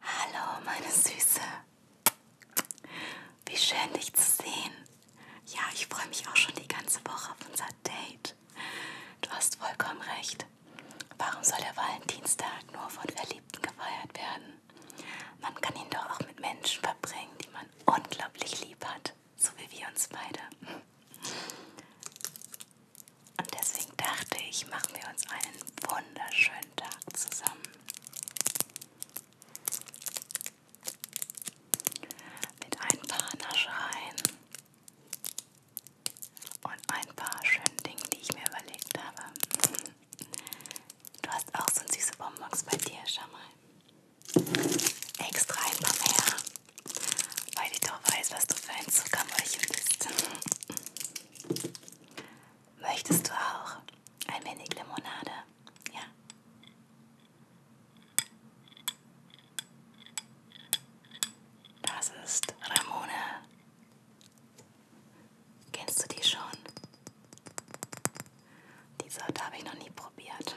Hallo, meine Süße. Wie schön, dich zu sehen. Ja, ich freue mich auch schon die ganze Woche auf unser Date. Du hast vollkommen recht. Warum soll der Valentinstag nur von Verliebten gefeiert werden? Man kann ihn doch auch mit Menschen verbringen, die man unglaublich lieb hat, so wie wir uns beide. Und deswegen dachte ich, machen wir uns einen wunderschönen Tag zusammen. Mit ein paar Naschereien und ein paar schönen Dingen, die ich mir überlegt habe. Du hast auch so süße Bonbons bei dir, schau mal. Extra ein paar mehr, weil ich doch weiß, was du für ein Zuckermäulchen bist. Möchtest du auch ein wenig Limonade? Ja. Das ist Ramone. Kennst du die schon? Die Sorte habe ich noch nie probiert.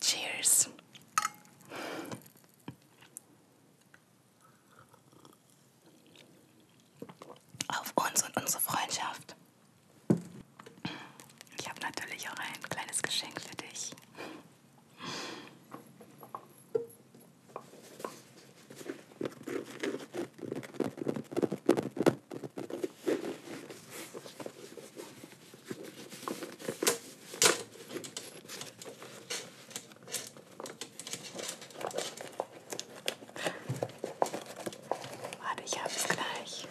Cheers. Auf uns und unsere Freundschaft. Ich habe natürlich auch ein kleines Geschenk für dich. Warte, ich hab's gleich.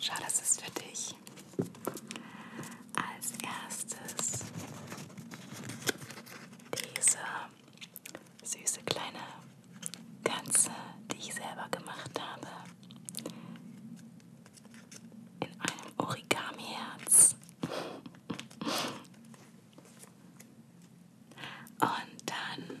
Schau, das ist für dich ich als erstes diese süße kleine Katze, die ich selber gemacht habe, in einem Origami-Herz. Und dann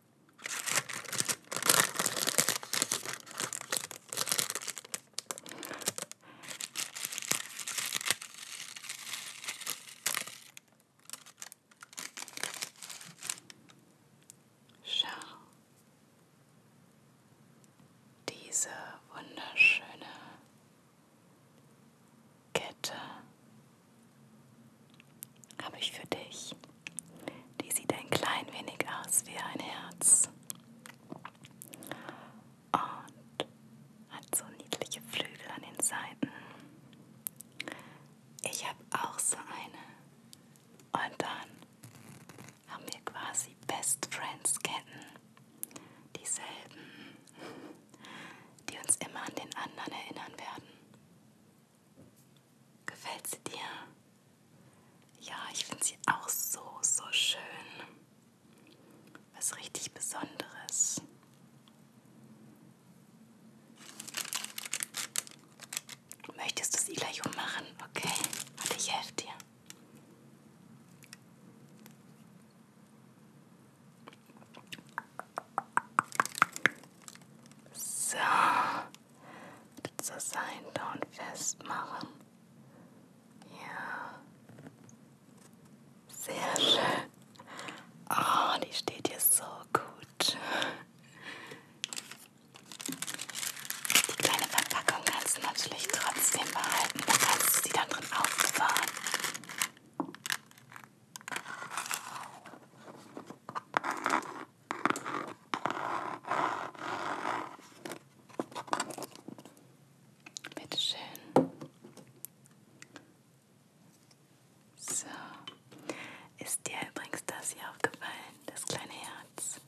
Schau diese wunderschöne Kette habe ich für dich. Die sieht ein klein wenig aus wie ein Herz und hat so niedliche Flügel an den Seiten. Ich habe auch so eine. Und dann haben wir quasi Best Friends Ketten. Dieselben, die uns immer an den anderen erinnern werden. Gefällt sie dir? Ja, ich finde sie auch so, so schön. Was richtig Besonderes. Möchtest du es Ilayo machen? Okay, und ich helfe dir. So. Zur Seite und festmachen. Ja. Sehr schön. Oh, die steht hier so gut. Die kleine Verpackung kannst du natürlich trotzdem behalten. Da kannst du sie dann drin aufbewahren. Bitte schön. So. Ist dir übrigens das hier aufgefallen, das kleine Herz?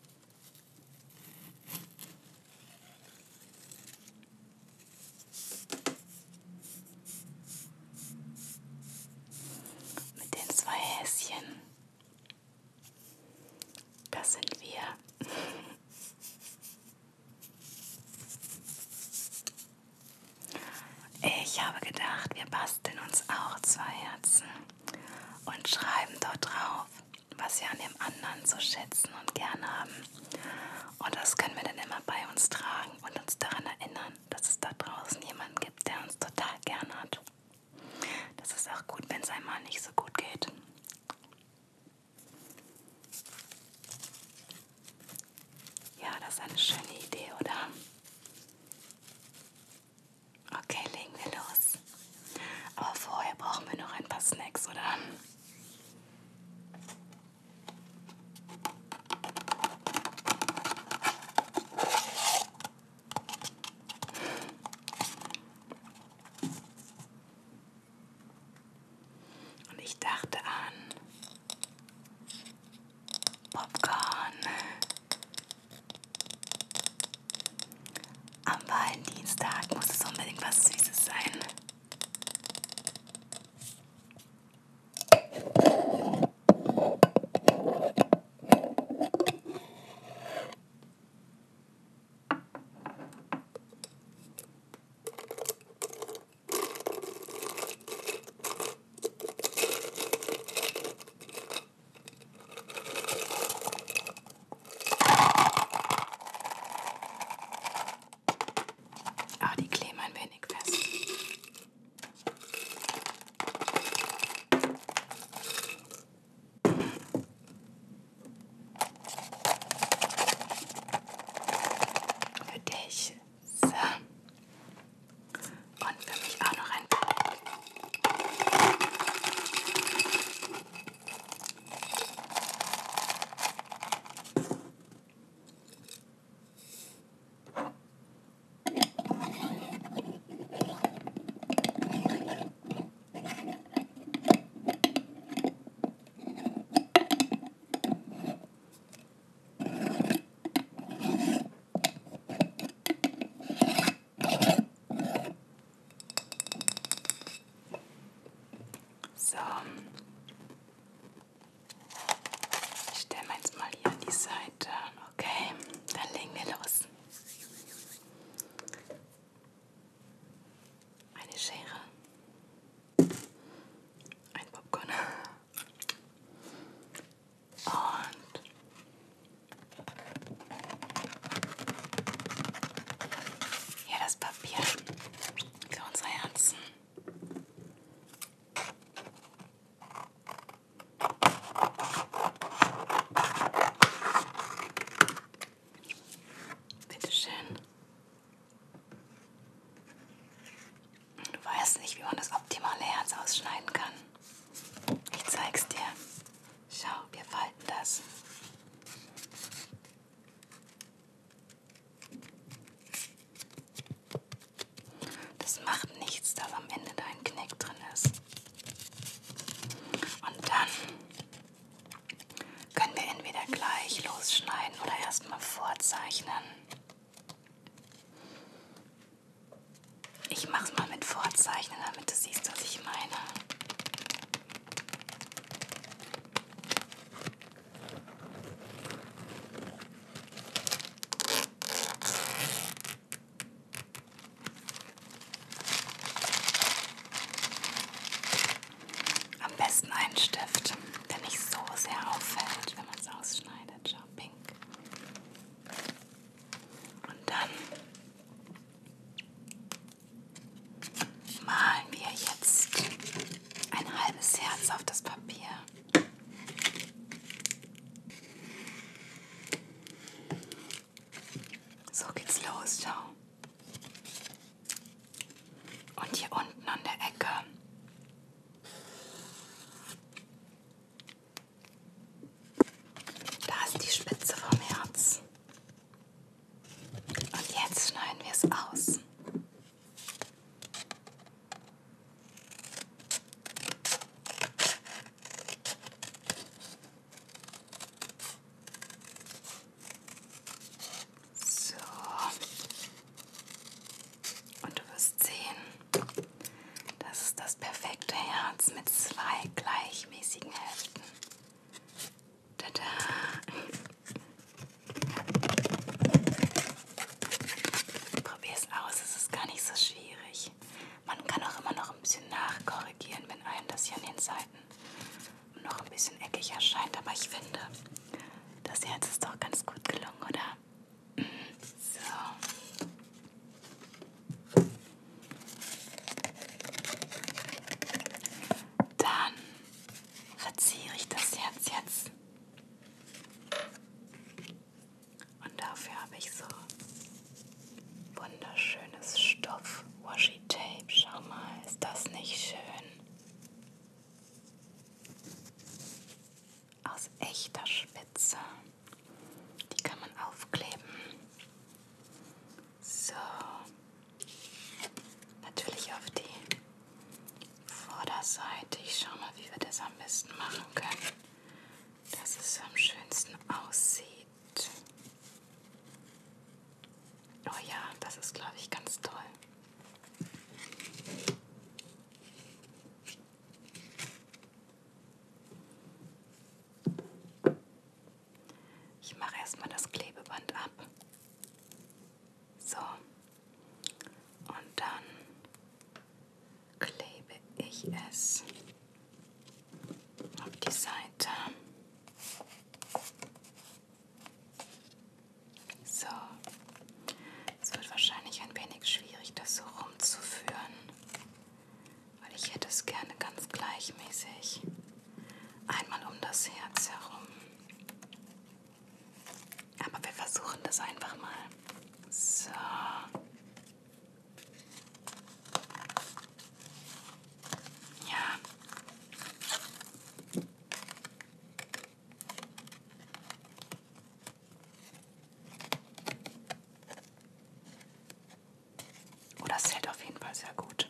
Mit den zwei Häschen. Das sind wir. Ich habe gedacht, wir basteln uns auch zwei Herzen und schreiben dort drauf, was wir an dem anderen so schätzen und gern haben. Und das können wir dann immer bei uns tragen und uns daran erinnern dass es da draußen jemanden gibt, der uns total gern hat. Das ist auch gut, wenn es einmal nicht so gut geht. Ja, das ist eine schöne Idee, oder? Okay, legen wir los. Aber vorher brauchen wir noch ein paar Snacks, oder? Und ich dachte an Popcorn am Valentinstag muss es unbedingt was Süßes sein. Aber ah, die kleben ein wenig fest. Für dich. So. Und für mich auch noch ein. So. Ich stelle mir jetzt mal hier an die Seite Okay, dann legen wir los. Eine Schere. Ein Popcorn. Und hier das Papier für unsere Herzen. Bitte schön. Du weißt nicht, wie man das optimale Herz ausschneiden kann. Ich zeig's dir. Schau, wir falten das. Das macht nichts, dass am Ende da ein Knick drin ist. Und dann können wir entweder gleich losschneiden oder erstmal vorzeichnen. Ich mache es mal mit Vorzeichnen, damit du siehst, was ich meine. Am besten einen Stift, der nicht so sehr auffällt, wenn man es ausschneidet. Schau, pink. Und dann malen wir jetzt ein halbes Herz auf das Papier. So geht's los, ciao. Und hier unten an der Ecke. Da ist die Spitze vom Herz. Und jetzt schneiden wir es aus. So. Und du wirst sehen, das ist das perfekte Herz mit zwei gleichmäßigen Hälften. Tada! Probier es aus, es ist gar nicht so schwierig. Man kann auch immer noch ein bisschen nachkorrigieren, wenn einem das hier an den Seiten noch ein bisschen eckig erscheint. Aber ich finde, das Herz ist doch ganz gut gelungen, oder? So. Dann verziere ich das Herz jetzt und dafür habe ich so wunderschönes Stoff Washi Tape. Schau mal, ist das nicht schön? Aus echter Spitze. Die kann man aufkleben. So. Natürlich auf die Vorderseite. Ich schau mal, wie wir das am besten machen können dass es am schönsten aussieht. Oh ja, das ist, glaube ich, ganz toll. Ich mache erstmal das Klebeband ab. So. Und dann klebe ich es auf die Seite. So, es wird wahrscheinlich ein wenig schwierig, das so rumzuführen, weil ich hätte es gerne ganz gleichmäßig einmal um das Herz herum. Aber wir versuchen das einfach mal. So. Ja. Oh, das hält auf jeden Fall sehr gut.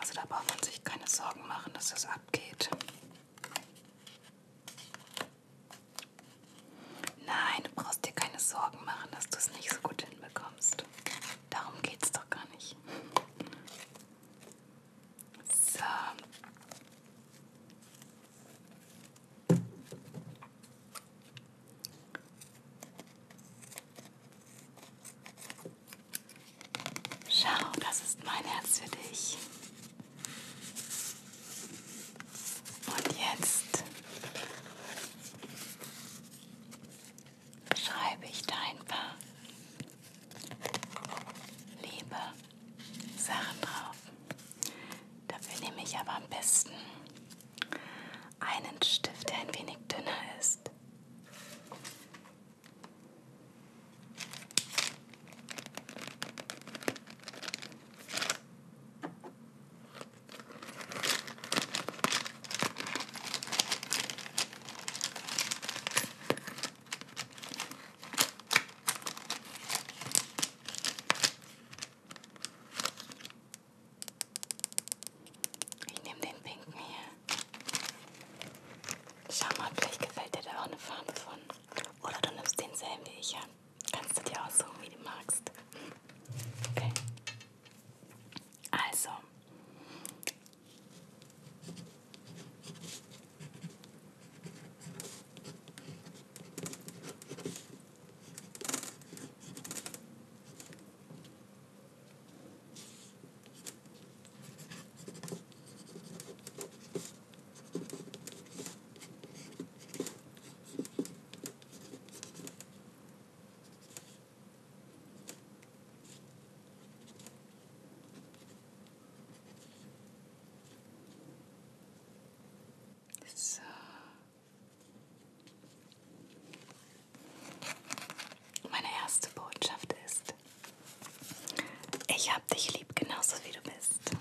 Also da braucht man sich keine Sorgen machen, dass das abgeht. Nein, du brauchst dir keine Sorgen machen, dass du es nicht so gut hinbekommst. Darum geht's doch gar nicht. So. Schau, das ist mein Herz für dich. Und jetzt beschreibe ich da ein paar liebe Sachen drauf. Dafür nehme ich aber am besten einen Stift, der ein wenig dünner ist. Ich nehme den pinken hier. Schau mal, vielleicht gefällt dir da auch eine Farbe von. Oder du nimmst denselben wie ich an. Ja. Kannst du dir aussuchen, wie du magst. Okay. Also. So. Meine erste Botschaft ist, ich hab dich lieb genauso wie du bist.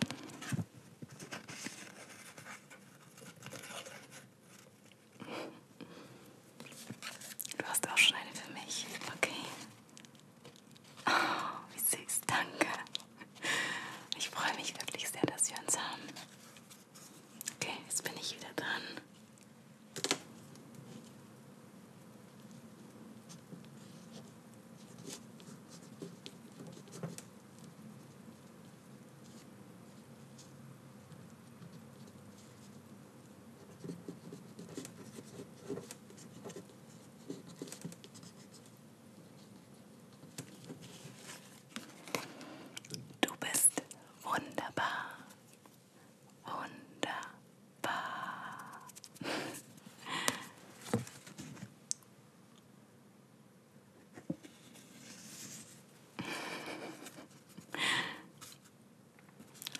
Du hast auch schon eine für mich. Okay. Oh, wie süß. Danke. Ich freue mich wirklich sehr, dass wir uns haben. Okay, jetzt bin ich wieder dran. Du bist wunderbar. Wunderbar.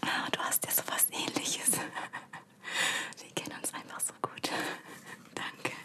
Oh, du hast ja so was ähnliches. Wir kennen uns einfach so gut. Danke.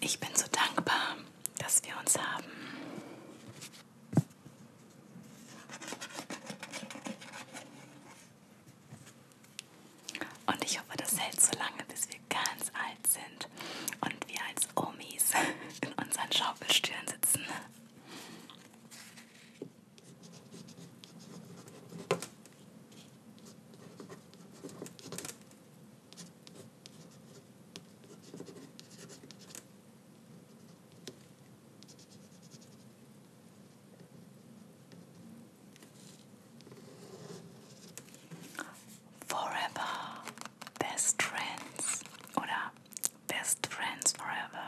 Ich bin so dankbar, dass wir uns haben. Und ich hoffe, das hält so lange, bis wir ganz alt sind und wir als Omis in unseren Schaukelstühlen sitzen. Forever Best Friends oder Best Friends Forever.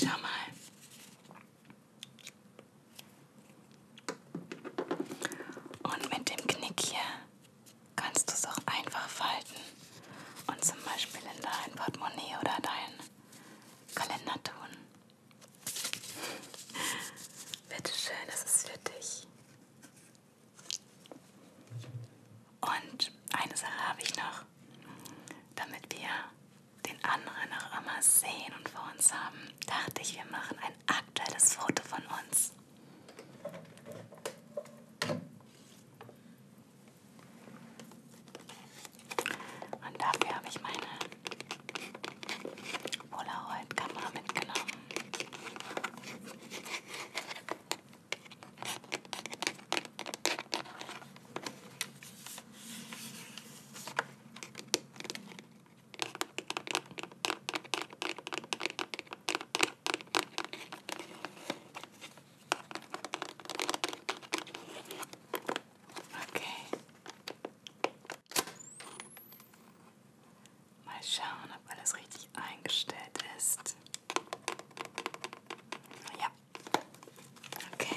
Schau mal. Eh. Und mit dem Knick hier kannst du es auch einfach falten und zum Beispiel in dein Portemonnaie oder deinen Kalender tun. Bitte schön, das ist für dich. Und eine Sache habe ich noch, damit wir den anderen auch immer sehen und vor uns haben, dachte ich, wir machen ein aktuelles Foto von uns. Und dafür habe ich meine Polaroid-Kamera mitgenommen. Okay. Mal schauen, ob alles richtig eingestellt ist. Ja. Okay.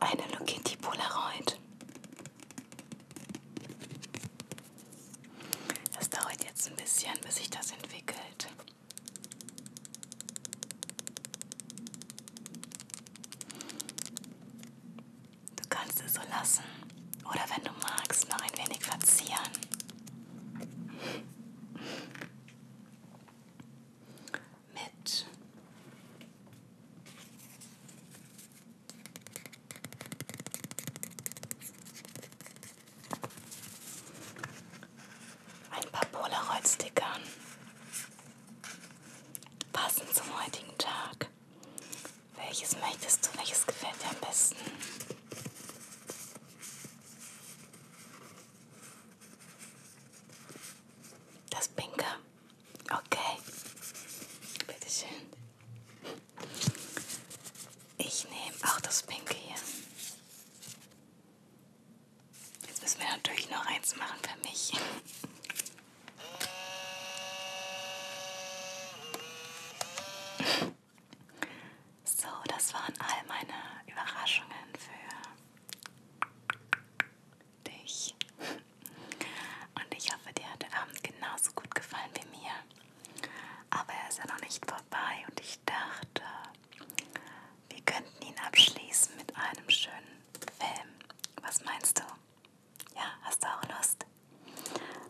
Eine Look Kitty Polaroid. Das dauert jetzt ein bisschen, bis sich das entwickelt. Du kannst es so lassen oder wenn du magst, noch ein wenig verzieren mit. Ein paar Polaroid-Stickern. Passend zum heutigen Tag. Welches möchtest du? Welches gefällt dir am besten? Das Pinke. Okay. Bitteschön. Ich nehme auch das Pinke hier. Jetzt müssen wir natürlich noch eins machen für mich. So, das waren all meine Überraschungen für dich. Und ich hoffe, dir hat der Abend genauso gut gefallen wie mir. Aber er ist ja noch nicht vorbei und ich dachte, wir könnten ihn abschließen mit einem schönen Film. Was meinst du? Ja, hast du auch Lust?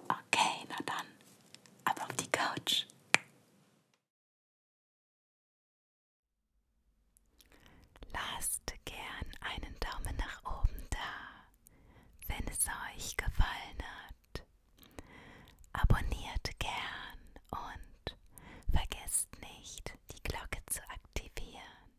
Okay, na dann, ab auf die Couch. Lasst gern einen Daumen nach oben da, wenn es euch gefallen hat. Abonniert gern und vergesst nicht, die Glocke zu aktivieren.